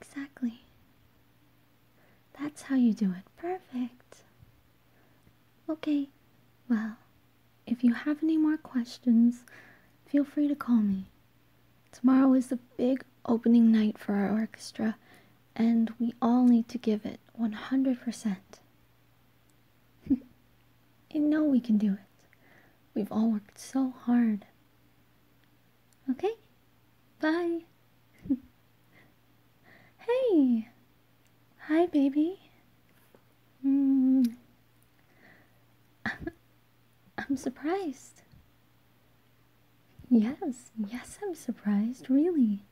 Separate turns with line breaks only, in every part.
Exactly. That's how you do it. Perfect. Okay, well, if you have any more questions, feel free to call me. Tomorrow is the big opening night for our orchestra, and we all need to give it 100%. You know we can do it. We've all worked so hard. Okay? Bye. hey! Hi, baby. Mm. I'm surprised. Yes, yes, I'm surprised, really.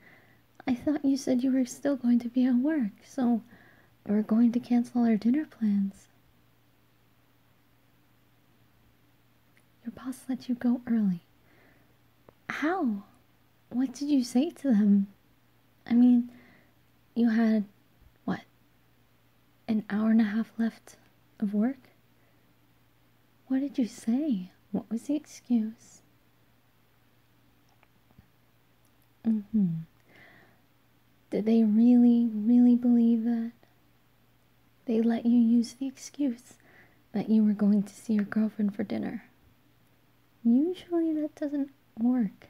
I thought you said you were still going to be at work, so we're going to cancel our dinner plans. Your boss let you go early. How? What did you say to them? I mean, you had, what, an hour and a half left of work? What did you say? What was the excuse? Mm hmm. Did they really, really believe that? They let you use the excuse that you were going to see your girlfriend for dinner. Usually that doesn't work.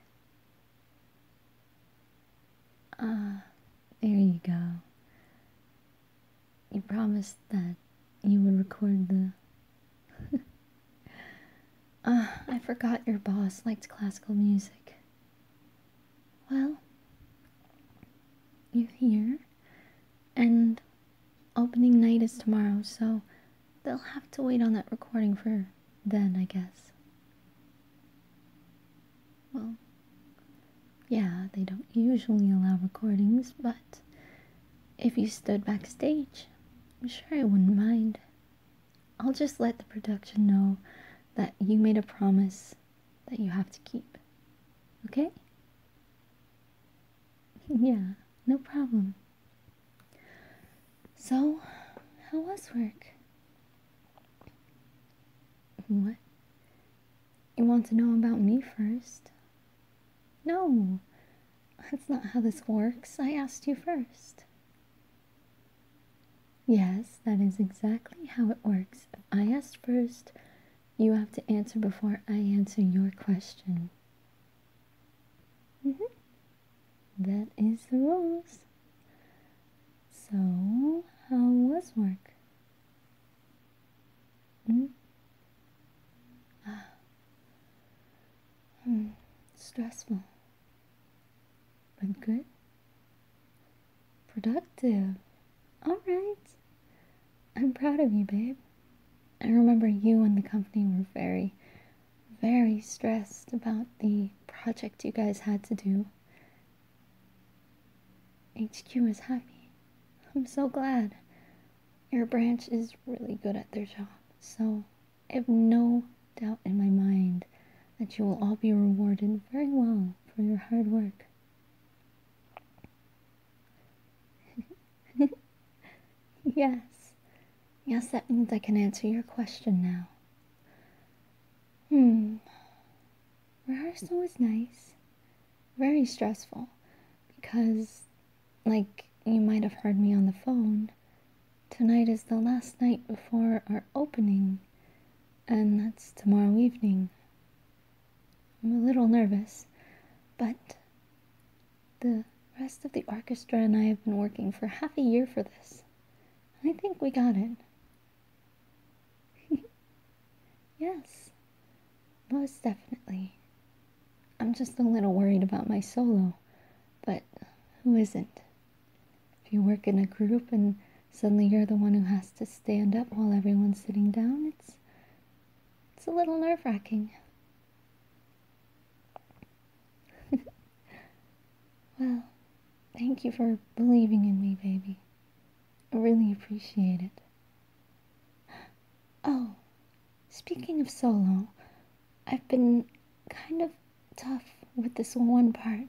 Ah, there you go. You promised that you would record the. Ah, I forgot your boss liked classical music. Well, you're here, and opening night is tomorrow, so they'll have to wait on that recording for then, I guess. Well, yeah, they don't usually allow recordings, but if you stood backstage, I'm sure I wouldn't mind. I'll just let the production know that you made a promise that you have to keep. Okay? yeah, no problem. So, how was work? What? You want to know about me first? No, that's not how this works. I asked you first. Yes, that is exactly how it works. If I asked first, you have to answer before I answer your question. Mm -hmm. That is the rules. So, how was work? Mm? Ah. Hmm. Stressful but good, productive. All right. I'm proud of you, babe. I remember you and the company were very, very stressed about the project you guys had to do. HQ is happy. I'm so glad. Your branch is really good at their job, so I have no doubt in my mind that you will all be rewarded very well for your hard work. yes. Yes, that means I can answer your question now. Hmm. Rehearsal was nice. Very stressful. Because, like you might have heard me on the phone, tonight is the last night before our opening and that's tomorrow evening. I'm a little nervous, but the rest of the orchestra and I have been working for half a year for this. I think we got it. yes, most definitely. I'm just a little worried about my solo, but who isn't? If you work in a group and suddenly you're the one who has to stand up while everyone's sitting down. It's it's a little nerve wracking. well, thank you for believing in me, baby. I really appreciate it. Oh, speaking of solo, I've been kind of tough with this one part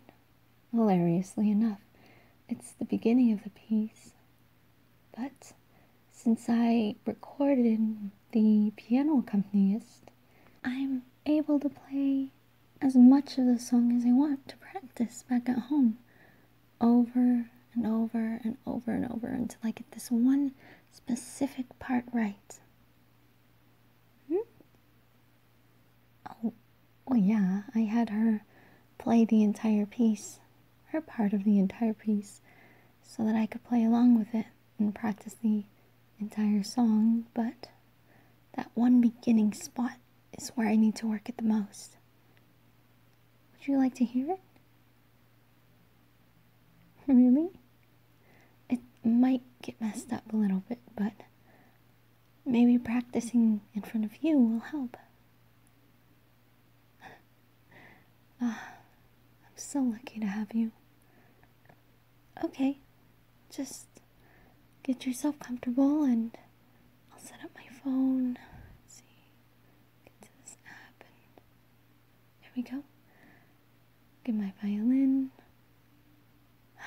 Hilariously enough, it's the beginning of the piece. But since I recorded the piano accompanist, I'm able to play as much of the song as I want to practice back at home over and over and over and over until I get this one specific part right. Hmm? Oh, yeah, I had her play the entire piece, her part of the entire piece, so that I could play along with it and practice the entire song, but that one beginning spot is where I need to work at the most. Would you like to hear it? Really? It might get messed up a little bit, but Maybe practicing in front of you will help. Ah, I'm so lucky to have you. Okay, just get yourself comfortable and I'll set up my phone. see, get to this app and there we go. Get my violin.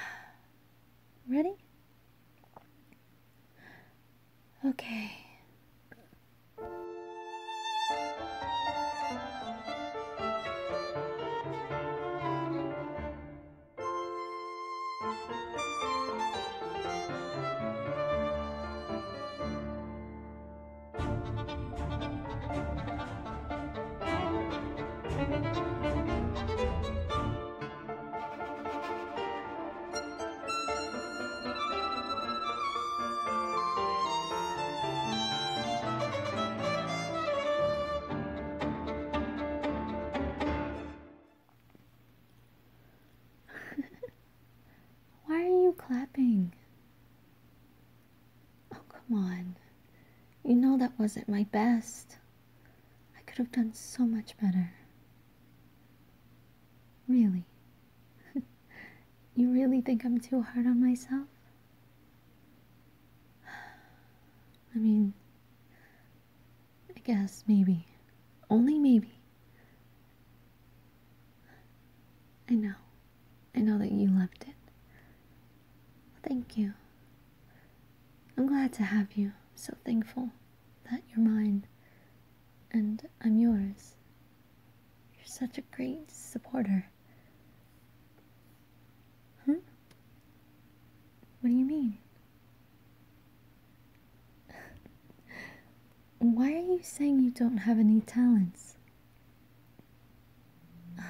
Ready? Okay. Why are you clapping? Oh, come on. You know that wasn't my best. I could have done so much better. Really? you really think I'm too hard on myself? I mean, I guess maybe. Only maybe. I know. I know that you loved it. thank you. I'm glad to have you. so thankful that you're mine and I'm yours. You're such a great supporter. Huh? What do you mean? Why are you saying you don't have any talents?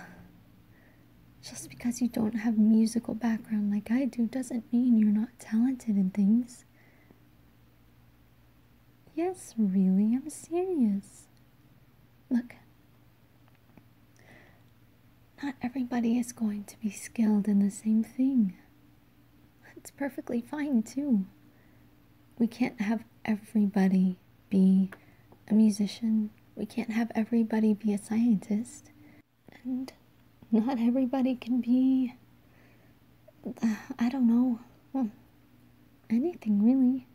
Just because you don't have musical background like I do doesn't mean you're not talented in things. Yes, really, I'm serious. Look, not everybody is going to be skilled in the same thing. It's perfectly fine, too. We can't have everybody be a musician, we can't have everybody be a scientist and not everybody can be I don't know well, anything really.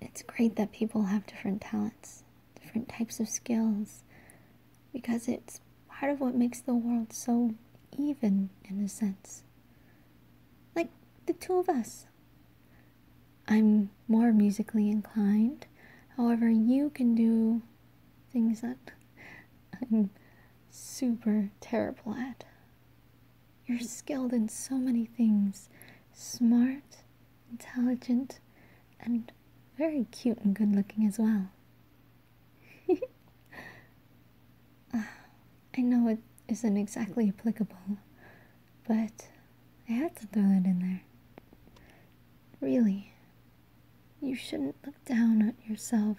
It's great that people have different talents, different types of skills, because it's part of what makes the world so even in a sense. Like the two of us. I'm more musically inclined. However, you can do things that I'm super terrible at. You're skilled in so many things smart, intelligent, and very cute and good looking as well. Ah, I know it isn't exactly applicable, but I had to throw it in there. Really, you shouldn't look down on yourself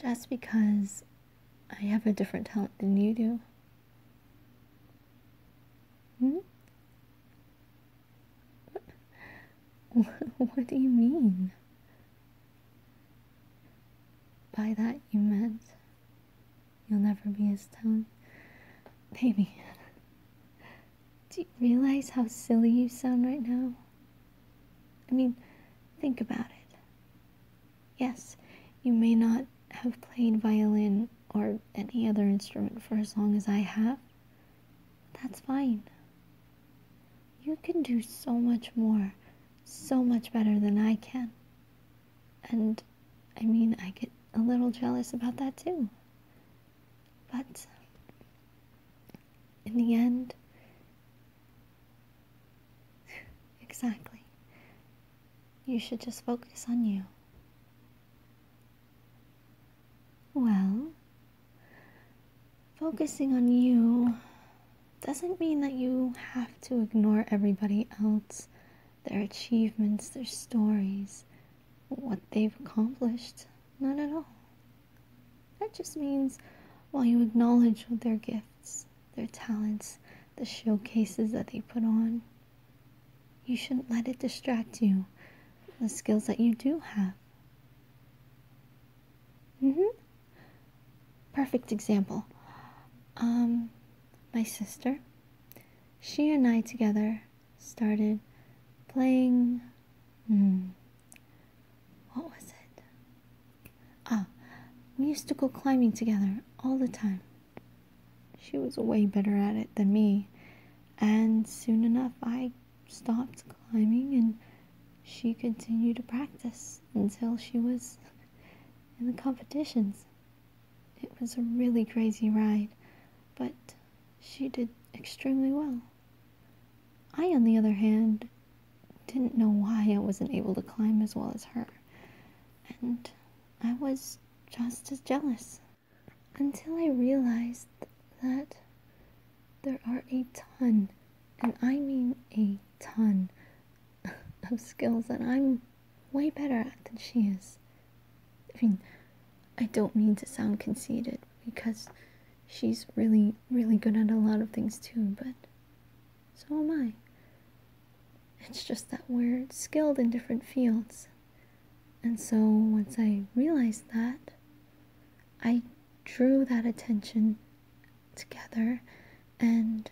just because I have a different talent than you do. Hmm? what do you mean? By that you meant you'll never be as talented. Baby, do you realize how silly you sound right now? I mean, think about it. Yes, you may not have played violin or any other instrument for as long as I have. That's fine. You can do so much more, so much better than I can. And I mean, I get a little jealous about that too. But in the end, exactly. You should just focus on you. Well, focusing on you doesn't mean that you have to ignore everybody else, their achievements, their stories, what they've accomplished. none at all. That just means while you acknowledge their gifts, their talents, the showcases that they put on, you shouldn't let it distract you the skills that you do have. Mm-hmm. Perfect example. Um, my sister, she and I together started playing. Hmm, what was it? Ah, we used to go climbing together all the time. She was way better at it than me, and soon enough I stopped climbing and she continued to practice until she was in the competitions. It was a really crazy ride, but she did extremely well. I, on the other hand, didn't know why I wasn't able to climb as well as her, and I was just as jealous until I realized that there are a ton, and I mean a ton, of skills that I'm way better at than she is. I mean, I don't mean to sound conceited because she's really, really good at a lot of things too, but so am I. It's just that we're skilled in different fields. And so once I realized that, I drew that attention together and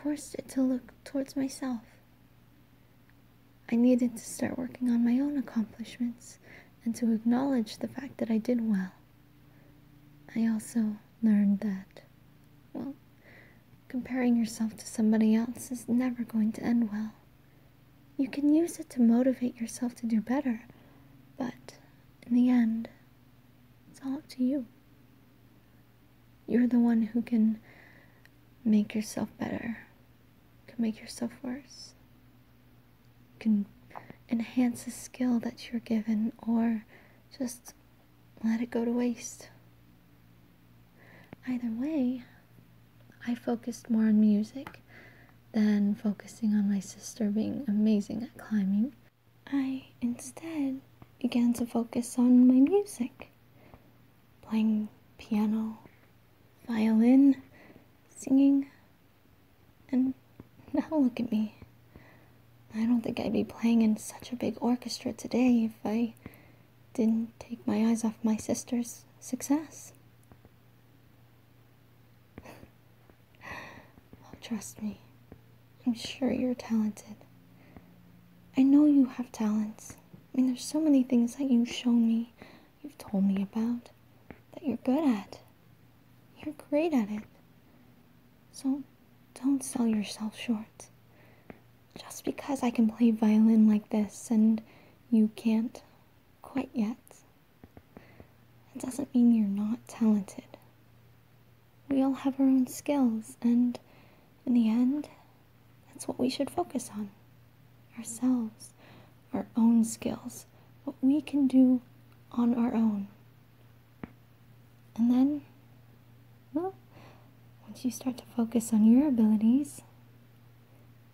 forced it to look towards myself. I needed to start working on my own accomplishments and to acknowledge the fact that I did well. I also learned that, well, comparing yourself to somebody else is never going to end well. You can use it to motivate yourself to do better, but in the end, it's all up to you. You're the one who can make yourself better can make yourself worse. You can enhance a skill that you're given or just let it go to waste. Either way, I focused more on music than focusing on my sister being amazing at climbing. I instead began to focus on my music, playing piano, violin, singing, and now look at me. I don't think I'd be playing in such a big orchestra today if I didn't take my eyes off my sister's success. Oh, trust me, I'm sure you're talented. I know you have talents. I mean, there's so many things that you've shown me you've told me about that you're good at. You're great at it. So don't sell yourself short. Just because I can play violin like this and you can't quite yet, it doesn't mean you're not talented. We all have our own skills, and in the end, that's what we should focus on ourselves, our own skills, what we can do on our own. And then, well, once you start to focus on your abilities,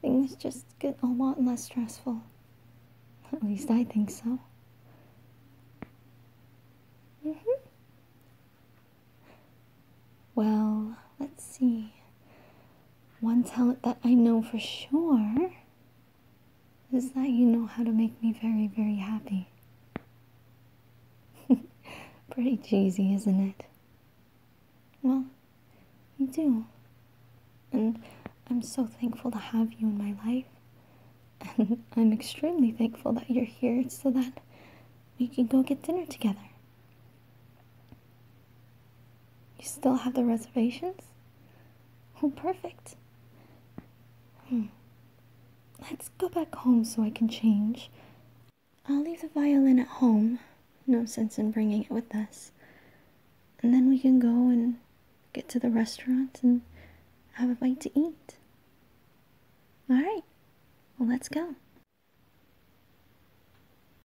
things just get a lot less stressful. At least I think so. Mm hmm Well, let's see. One talent that I know for sure is that you know how to make me very, very happy. Pretty cheesy, isn't it? Well, you do. And I'm so thankful to have you in my life. And I'm extremely thankful that you're here so that we can go get dinner together. You still have the reservations? Oh, perfect. Hmm. Let's go back home so I can change. I'll leave the violin at home. No sense in bringing it with us. And then we can go and get to the restaurant and have a bite to eat. All right, well, let's go.